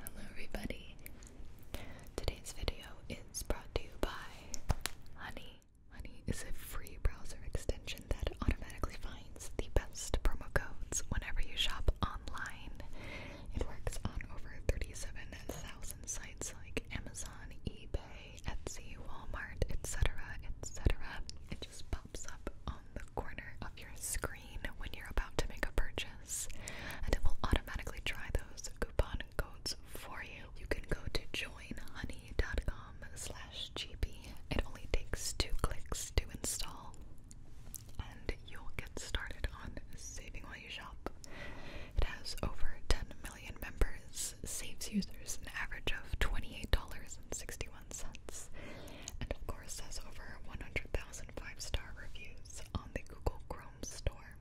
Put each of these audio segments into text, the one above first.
Hello everybody. Today's video is brought to you by Honey. Honey is a free browser extension that automatically finds the best promo codes whenever you shop online. It works on over 37,000 sites like Amazon, eBay, Etsy, Walmart, etc., etc pops up on the corner of your screen when you're about to make a purchase, and it will automatically try those coupon codes for you. You can go to joinhoney.com slash gp. It only takes two clicks to install, and you'll get started on saving while you shop. It has over 10 million members, saves users an average of $28.61 and of course has over 100,000 star reviews on the Google Chrome store.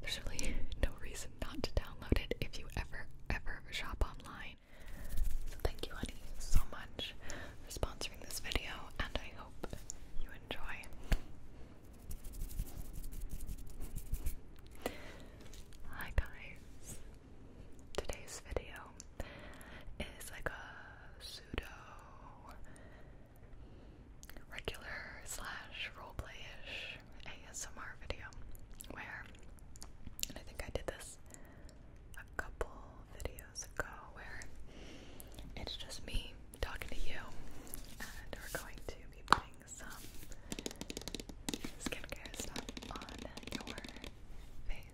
There's really no reason not to download it if you ever, ever shop online. So thank you, honey, so much for sponsoring this video, and I hope you enjoy. Hi guys, Today's video is like a pseudo regular slash roleplay-ish ASMR video where I think I did this a couple videos ago where it's just me talking to you and we're going to be putting some skincare stuff on your face.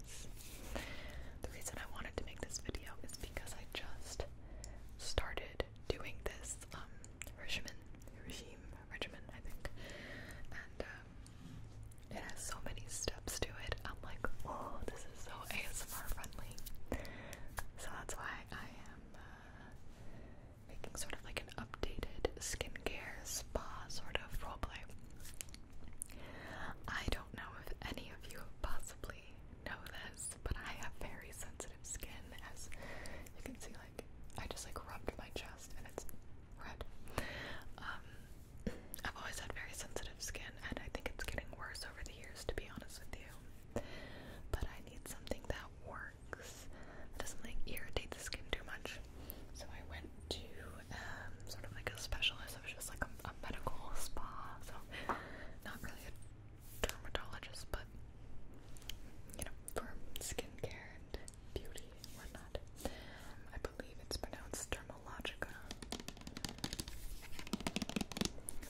The reason I wanted to make this video is because I just started doing this um, regimen, I think, and um, it has so many steps to it. I'm like, oh, this is so ASMR friendly. So that's why I am uh, making sort of like an updated skincare spa sort of roleplay. I don't know if any of you have possibly know this, but I have very sensitive skin as you can see like I just like rubbed my chest and it's red. Um I've always had very sensitive skin and I think it's getting worse over the years to be honest with you. But I need something that works. That doesn't like irritate the skin too much. So I went to um, sort of like a specialist. It was just like a, medical spa, so not really a dermatologist, but you know, for skincare and beauty and whatnot. Um, I believe it's pronounced dermalogica.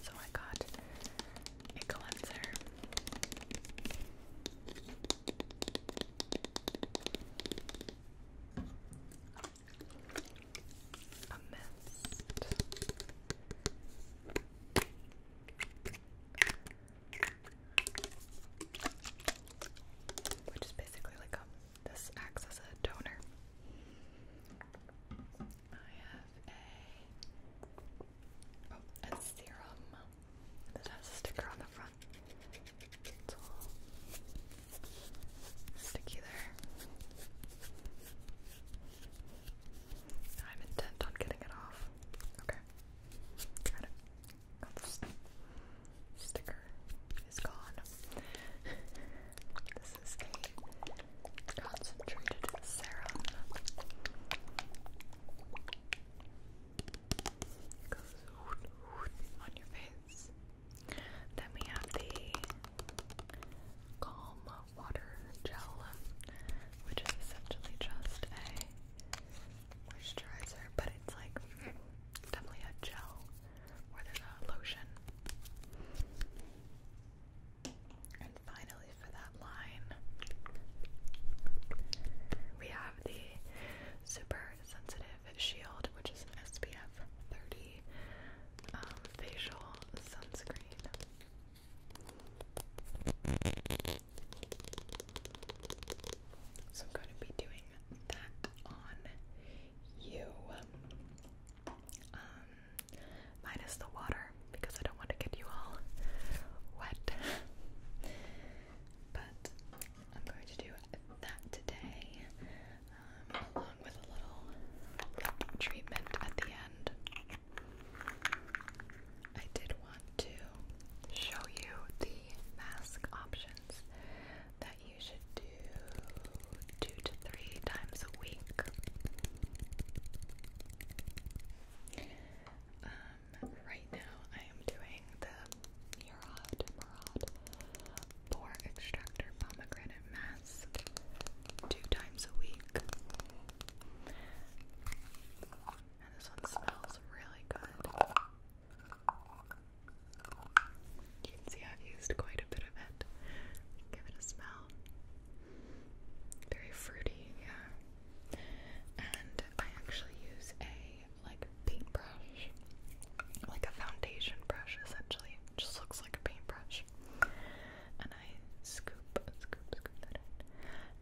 So I got a cleanser. Which is basically like a, um, this acts as a toner. I have a, oh, a serum that has a sticker on the from it's all sticky there. I'm intent on getting it off. Okay. Got it. sticker is gone. this is concentrated serum. Goes on your face. Then we have the Calm Water Gel, which is essentially just a moisturizer, but it's like definitely a gel more than a lotion. And finally, for that line, we have the Super sensitive shield, which is an SPF 30 um, facial sunscreen. So I'm going to be doing that on you. Um, minus the water because I don't want to get you all wet. But I'm going to do that today, um, along with a little treatment at the end. I did want to show you the mask options that you should do two to three times a week. Um, right now I am doing the Murad Pore Extractor Pomegranate Mask two times a week. And this one smells really good. You can see I've used quite a bit of it. Give it a smell. Very fruity, yeah. And I actually use a like paintbrush, like a foundation brush essentially. just looks like a paintbrush. And I scoop, scoop, scoop that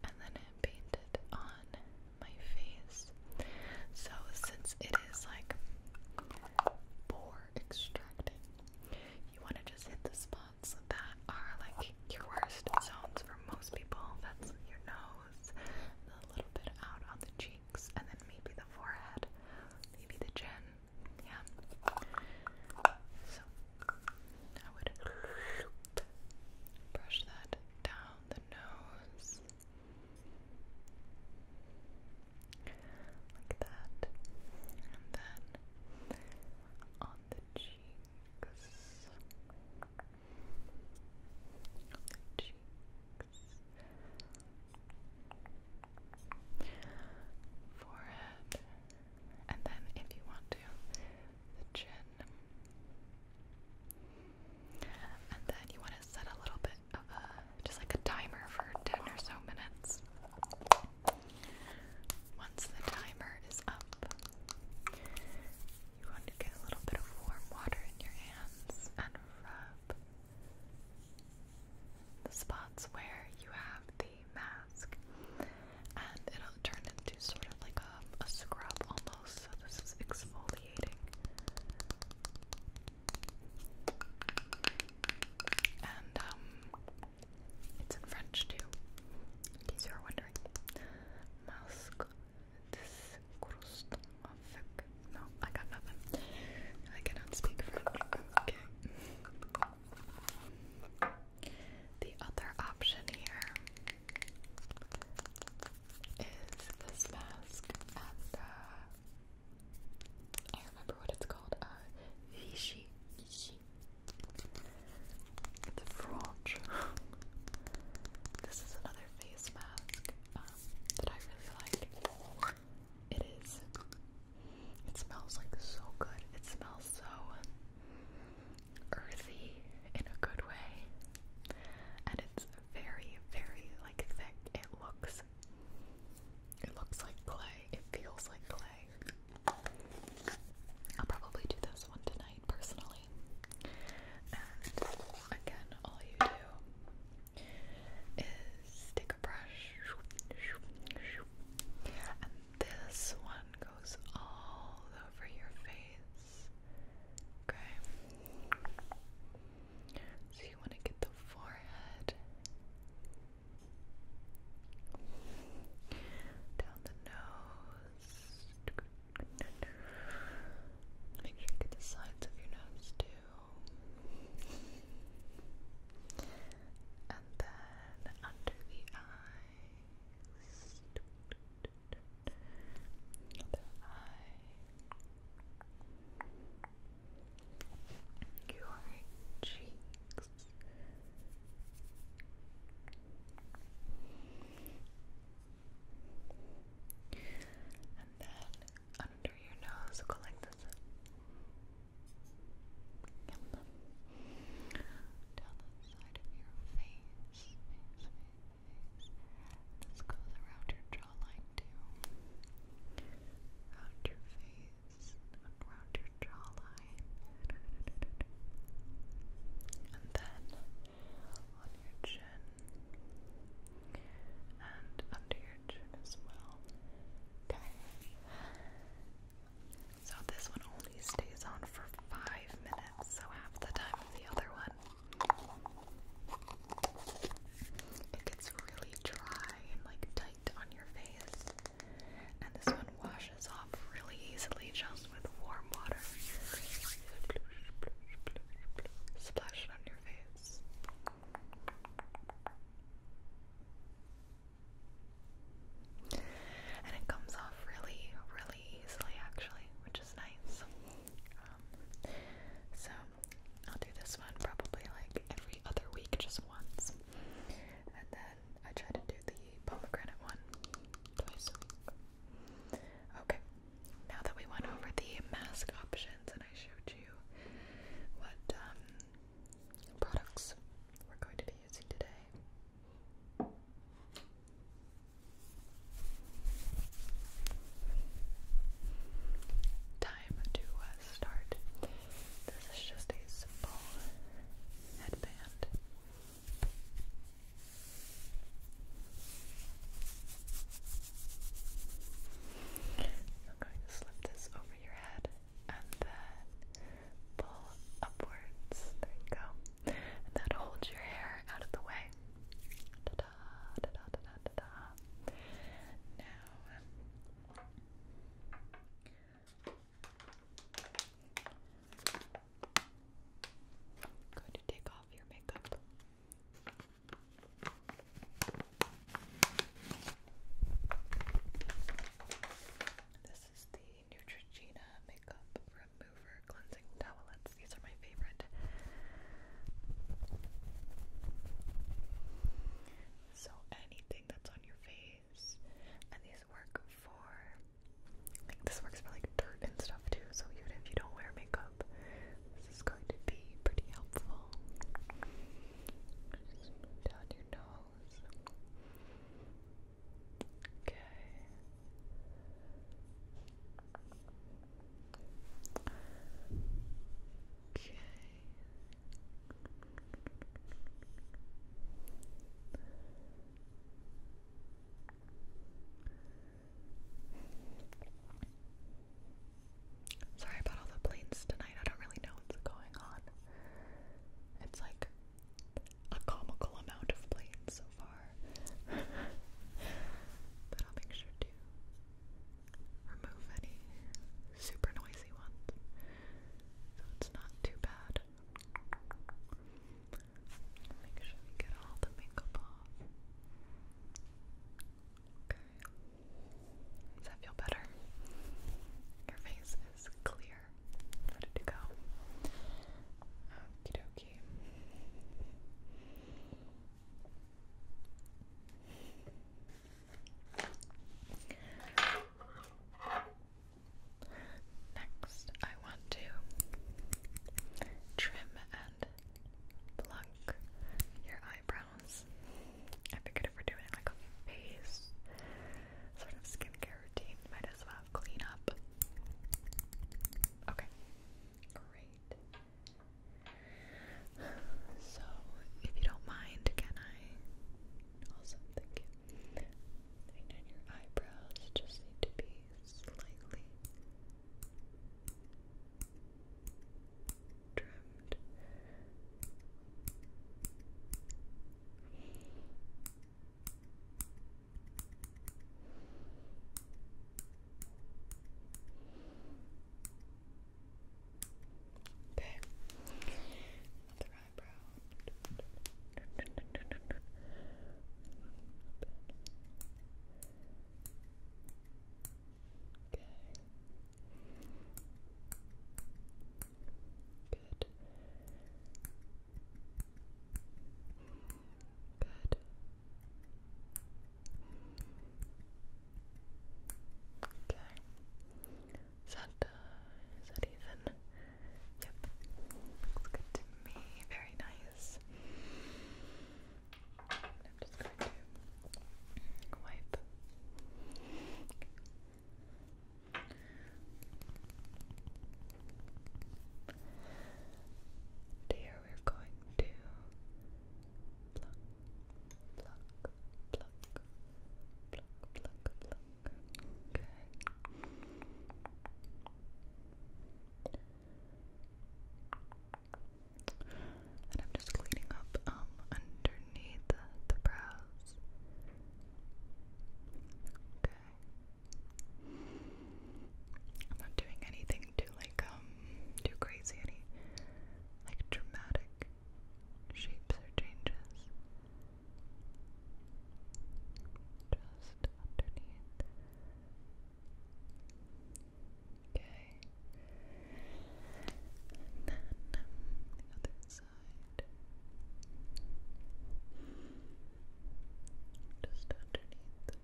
and then I paint it on my face. So since it is like pore extracting, you want to just hit the spots that are like your worst zones for most people. That's your nose, a little bit out on the cheek and then maybe the forehead, maybe the chin. Yeah. So I would brush that down the nose. Like that. And then On the cheeks forehead, and then if you want to, chin. And then you want to set a little bit of a, just like a timer for 10 or so minutes. Once the timer is up, you want to get a little bit of warm water in your hands and rub the spots where you have the mask and it'll turn into sort of like a, scrub almost. So this is exfoliating. And um, it's in French too. In case you're wondering. Masque Oh, I got nothing. speak French. The other option here is this mask, uh, I remember what it's called. Uh, French. this is another face mask that I really like. It is. It smells like so good. It smells so earthy in a good way, and it's very, very like thick. It looks. It looks like clay. It feels like clay. I'll probably do this one tonight personally. And again, all you do is take a brush, and this one goes all over your face. Okay. So you want to get the forehead, down the nose. Make sure you get the sides of your nose too and then under the eyes, the eye, your cheeks. And then under your nose. Go like this. Down the side of your face. This goes around your jawline too. Around your face. Around your jawline. And then on your chin and under your chin as well. Okay. So this one only stays on for five minutes, so half the time of the other one. It gets really dry and like tight on your face, and this one washes off really easily just with warm water. Splash it on your face. And it comes off really, really easily, actually, which is nice. Um, so I'll do this one probably like every other week, just once. And then I try to do the pomegranate one Okay, now that we went over the mask options and I showed you what um, products we're going to be using today. Time to uh, start. This is just a simple headband. I'm going to slip this over your head and then pull upwards. There you go. that holds your hair out of the way. Now. I'm going to take off your makeup. This is the Neutrogena Makeup Remover Cleansing Towelettes. These are my favorite. So anything that's on your face, and these work for like this works for like dirt and stuff too. So even if you don't wear makeup, this is going to be pretty helpful. Just move down your nose. Okay. Okay. Okay. Sorry about all the planes tonight. I don't really know what's going on. It's like a comical amount of planes so far. but I'll make sure to remove any super noisy ones so it's not too bad. Make sure we get all the makeup off. Okay. Does that feel better? Your face is clear. Where did it go? Okie dokie. Next, I want to trim and pluck your eyebrows. I figured if we're doing like a face sort of skincare routine, might as well clean up. Okay, great. So, if you don't mind, can I also thank you? I your eyebrows just need to be slightly trimmed Okay, another eyebrow. Okay. Good. Good. Okay. Is that, that even? Yep. Looks good to me. Very nice. I'm just going to wipe. here we're going to pluck, pluck, pluck, pluck, pluck, pluck. Good. And I'm just cleaning up um, underneath the brows. Okay. I'm not doing anything too like um too crazy, any like dramatic shapes or changes. Just underneath. Okay. And then the other side. Just underneath. Okay. Very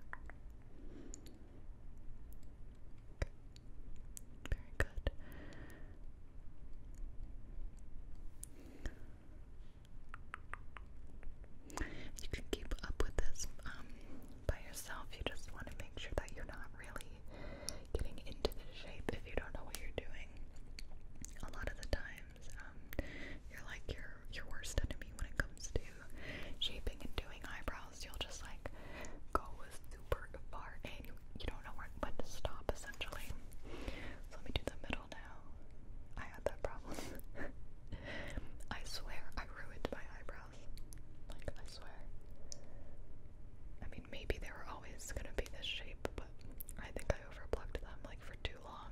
good. You can keep up with this um, by yourself. You just want to make sure that you're not really getting into this shape if you don't know what you're doing. A lot of the times, um, you're like your your worst enemy when it comes to shaping and doing eyebrows. You'll just like go super far and you, don't know where when to stop essentially. let me do the middle now. I had that problem. I swear I ruined my eyebrow like, I swear. I mean, maybe they were always gonna be this shape, but I think I overplugged them, like, for too long.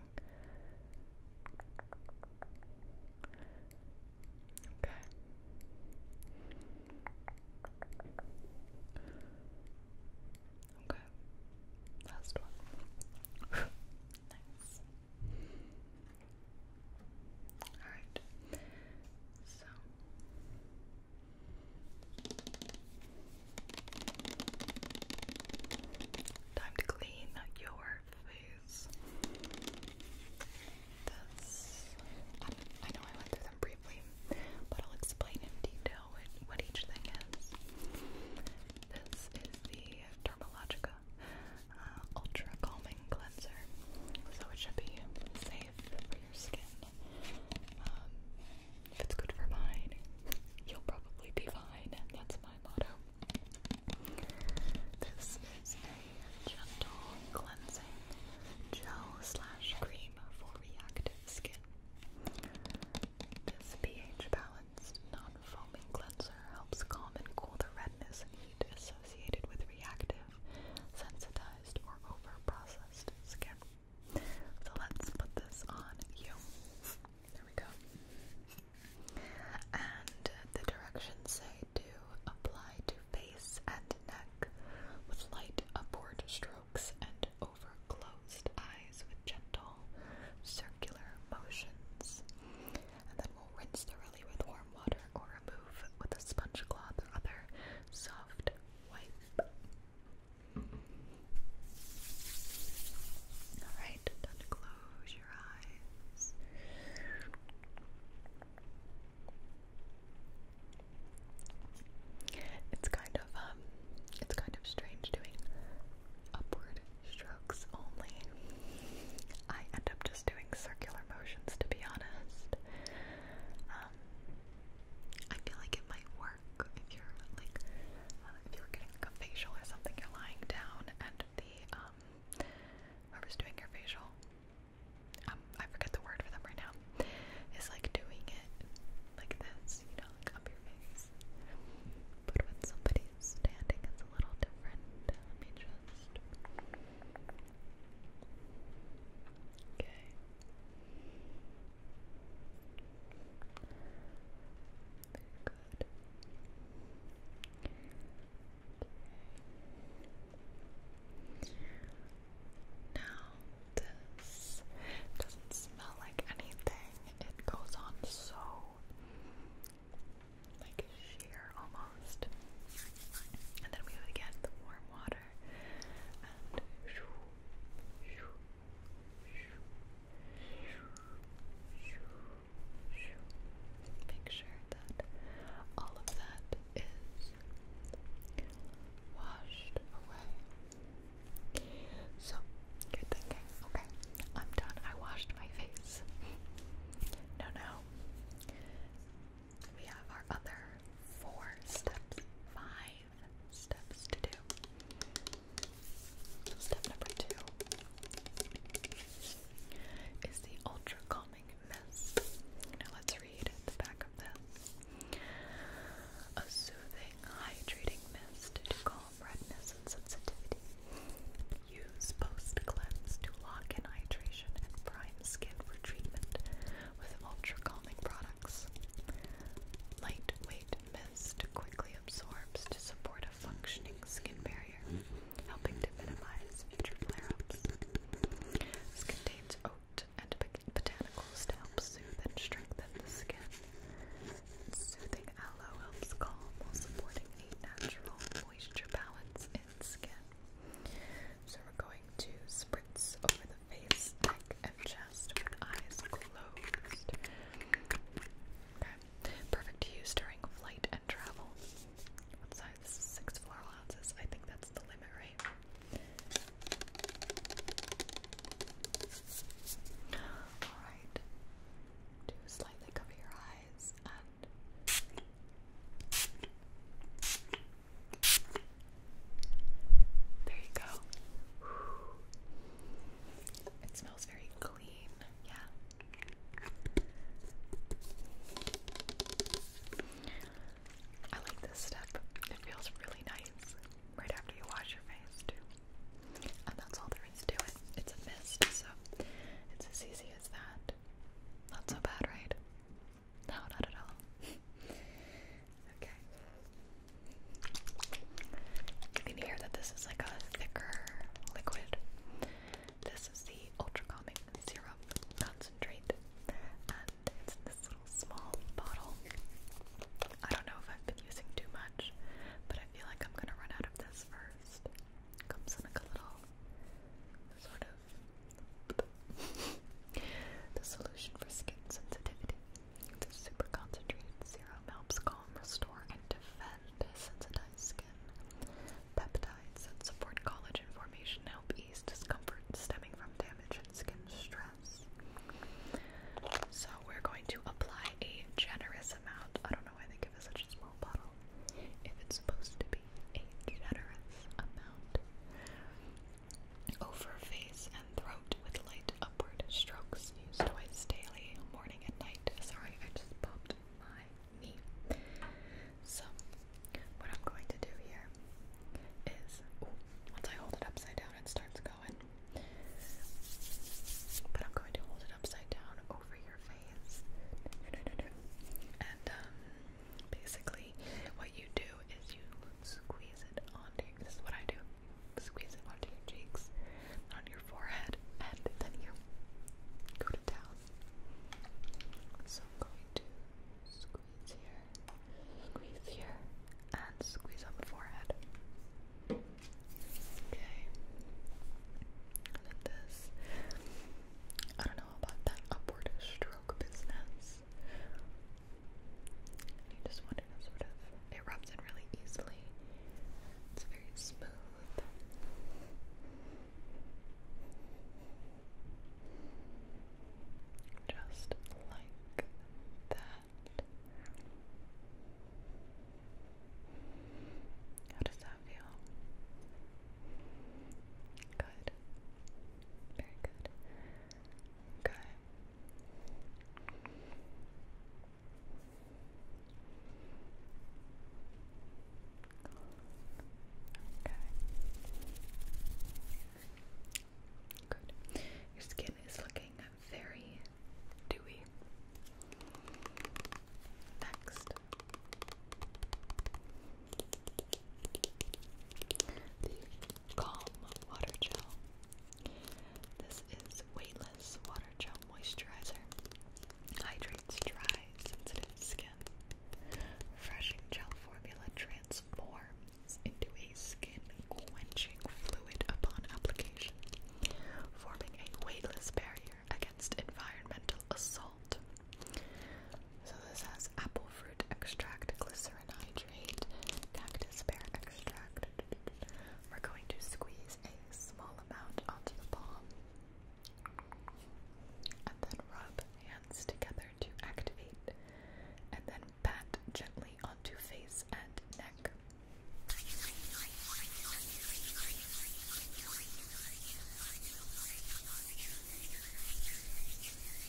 Okay. Okay. Last one. nice. Alright. So time to clean your face. This I, know I went through them briefly, but I'll explain in detail what, each thing is. This is the Dermalogica uh, Ultra Calming Cleanser, so it should be safe for your skin. Um, if it's good for mine, you'll probably be fine. That's my motto. This is a gentle cleansing gel slash cream for reactive skin. This pH balanced, non foaming cleanser helps calm and cool the redness and heat associated with reactive sensitized or overprocessed skin. So let's put this on you. There we go. And the directions say to apply to face and neck with light upward strokes and over closed eyes with gentle circular motions. And then we'll rinse thoroughly with warm or remove with a sponge cloth or other soft wipe. Alright, close your eyes. It's kind of um it's kind of strange doing upward strokes only. I end up just doing circular motions to be honest. Um, I feel like it might work if you're like uh, if you're getting a facial or something, you're lying down and the um, whoever's doing your facial, um, I forget the word for them right now, is like doing it like this, you know, up your face. But when somebody's standing, it's a little different. Let me just Okay. Good. Okay. Now this doesn't smell like anything. It goes on so like sheer almost. And then we would get the warm water and make sure that all of that is washed away. So, good thinking. Okay, I'm done. I washed my face. No, no we have our other four steps, five steps to do. Step number two is the ultra calming mist. Now let's read the back of this. A soothing, hydrating mist to calm redness and sensitivity. Use post cleanse to lock in hydration and prime skin for treatment with ultra calming products. Lightweight mist quickly absorbs to support a functioning skin barrier, helping to minimize future flare-ups. This contains oat and botanicals to help soothe and strengthen the skin. Soothing aloe helps calm while supporting a natural moisture balance in skin. So we're going to spritz over the face, neck, and chest with eyes closed. Okay. Perfect to use during flight and travel. What size? This is six floor ounces. I think that's the limit, right? Alright. Do slightly cover your eyes and there you go. It smells very clean. Yeah. I like this step. It feels really nice right after you wash your face, too. And that's all there is to it. It's a mist, so it's as easy as that. Not so bad, right? No, not at all. okay. You can hear that this is like a thicker liquid. This is the Ultra Calming Syrup Concentrate, and it's in this little small bottle. I don't know if I've been using too much, but I feel like I'm gonna run out of this first. Comes in a little sort of the solution for skin sensitivity. This super concentrated serum helps calm, restore, and defend sensitized skin. Peptides that support collagen formation help ease discomfort stemming from damage and skin stress. So we're going to apply a generous amount. I don't know why they give us such a small bottle. If it's supposed to be a generous amount over face and throat with light upward strokes used twice daily, morning and night. Sorry, I just popped my knee. So, what I'm going to do here is once I hold it upside down, it starts going. But I'm going to hold it upside down over your face. And um, Basically, what you do is you squeeze it onto this is what I do, squeeze it onto your cheeks, on your forehead, and then you go to So I'm going to squeeze here, squeeze here, and squeeze on the forehead. Okay. And then this, I don't know about that upward stroke business you just want it to sort of, it rubs in really easily. It's very smooth. Just like that. How does that feel? Good. Very good. Okay. Okay. Good. Your skin is looking very dewy. Next. Calm Water Gel. This is weightless water gel moisturizer. Hydrates dry, sensitive skin. Refreshing gel formula transforms into a skin-quenching fluid upon application, forming a weightless barrier against environmental assault. So this has apple fruit extract, glycerin hydrate, cactus pear extract. We're going to squeeze a small amount onto the palm and then rub hands together to activate and then pat gently onto face and neck.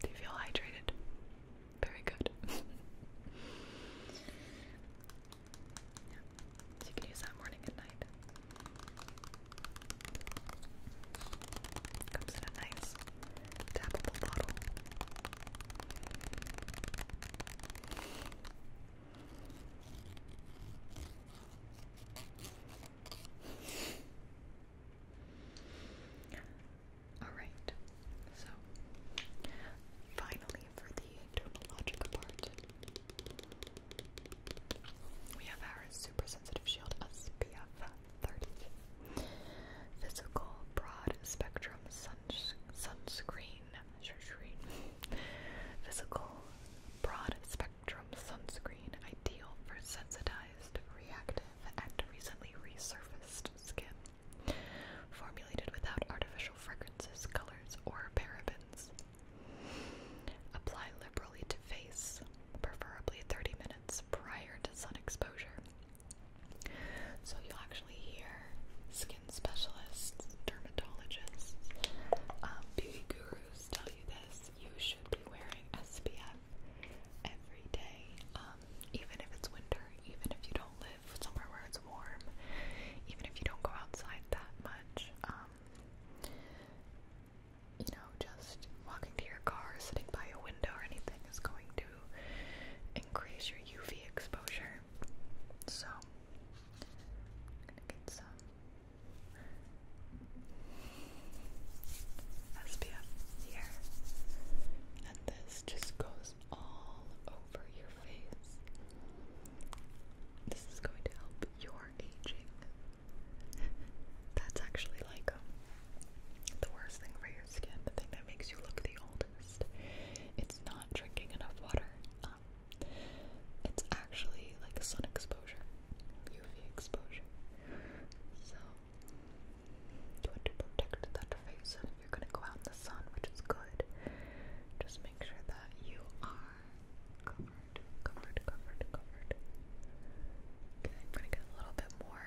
Do you feel hydrated? Very good. So you can use that morning and night. Comes in a nice tappable bottle. Alright, so finally for the dermatologic part, we have our super sensitive shield SPF 30. Physical broad spectrum suns sunscreen Chartrine. Physical, broad-spectrum sunscreen ideal for sensitized, reactive, and recently resurfaced skin. Formulated without artificial fragrances, colors, or parabens. Apply liberally to face, preferably 30 minutes prior to sun exposure. So you'll actually hear skin specialists, dermatologists, um, beauty gurus tell you this. You should be wearing SPF every day, um, even if it's winter, even if you don't live somewhere where it's warm, even if you don't go outside that much. Um, you know, just walking to your car, sitting by a window, or anything is going to increase your UV exposure. So, gonna get some SPF here, and this just goes all over your face. This is going to help your aging. That's actually like um, the worst thing for your skin, the thing that makes you look the oldest. It's not drinking enough water. It's actually like sun exposure, UV exposure. So to protect that face, if you're going to go out in the sun, which is good, just make sure that you are covered, covered, covered, covered. Okay, I'm going to get a little bit more.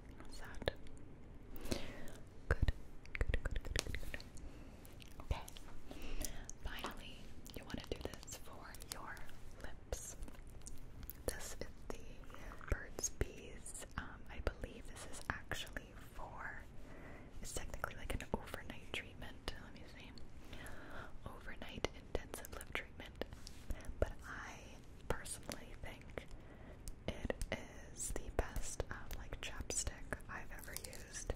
How's that? Good. Good, good, good, good, good. Okay. Finally, you want to do this for your lips. This is the Birds um, I believe this is actually for, technically like an overnight treatment. Let me see. Overnight intensive lip treatment. But I personally think it is the best um, like chapstick I've ever used.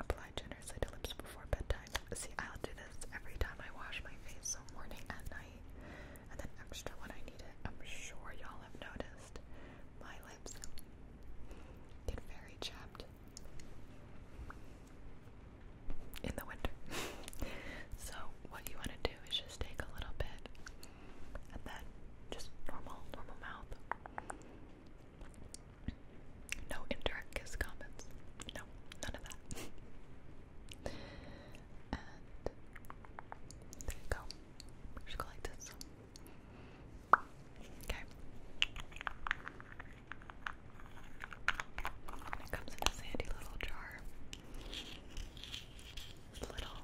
Apply generously to lips before bedtime. See, i do this every time I wash my face, so morning and night, and then extra when I need it. I'm sure y'all have noticed my lips get very chapped in the winter. so what you want to do is just take a little bit and then just normal, normal mouth. No indirect kiss comments. No, none of that. and there you go. Just go like this. Okay. it comes in this handy little jar little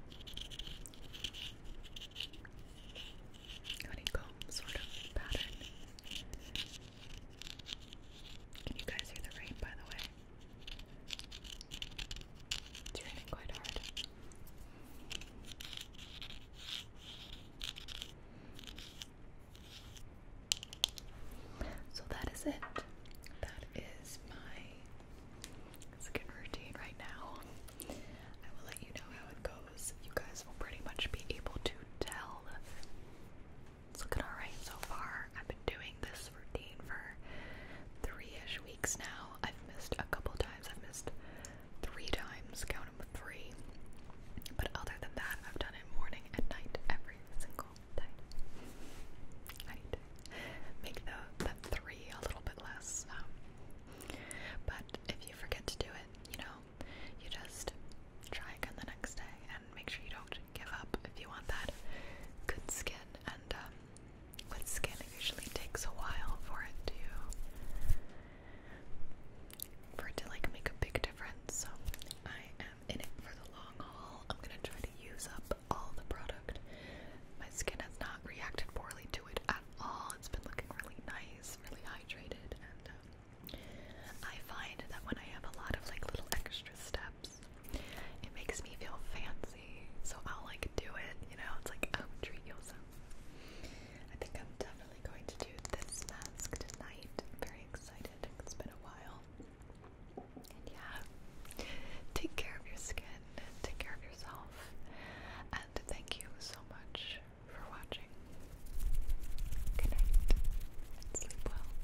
honeycomb sort of pattern. Can you guys hear the rain, by the way? It's raining quite hard. So that is it. That is my it's a good routine right now. I will let you know how it goes. You guys will pretty much be able to tell. It's looking alright so far. I've been doing this routine for three-ish weeks now. I've missed a couple times. I've missed three times. Count them three. But other than that, I've done it morning and night every single day. I make the, that three a little bit less. Um, but if you forget to do it, you know, you just try again the next day and make sure you don't give up if you want that good skin. And um, skin, it usually takes a while for it to for it to like make a big difference. So I am in it for the long haul. I'm gonna try to use up all the product. My skin has not reacted poorly to it at all. It's been looking really nice, really hydrated, and um, I find that when I have a lot of like little extra steps, it makes me feel fancy. So I'll like do it, you know. It's like oh, treat yourself. I think I'm definitely going to do this mask tonight. I'm very excited. It's been a while yeah, take care of your skin and take care of yourself. And thank you so much for watching. Good night sleep well.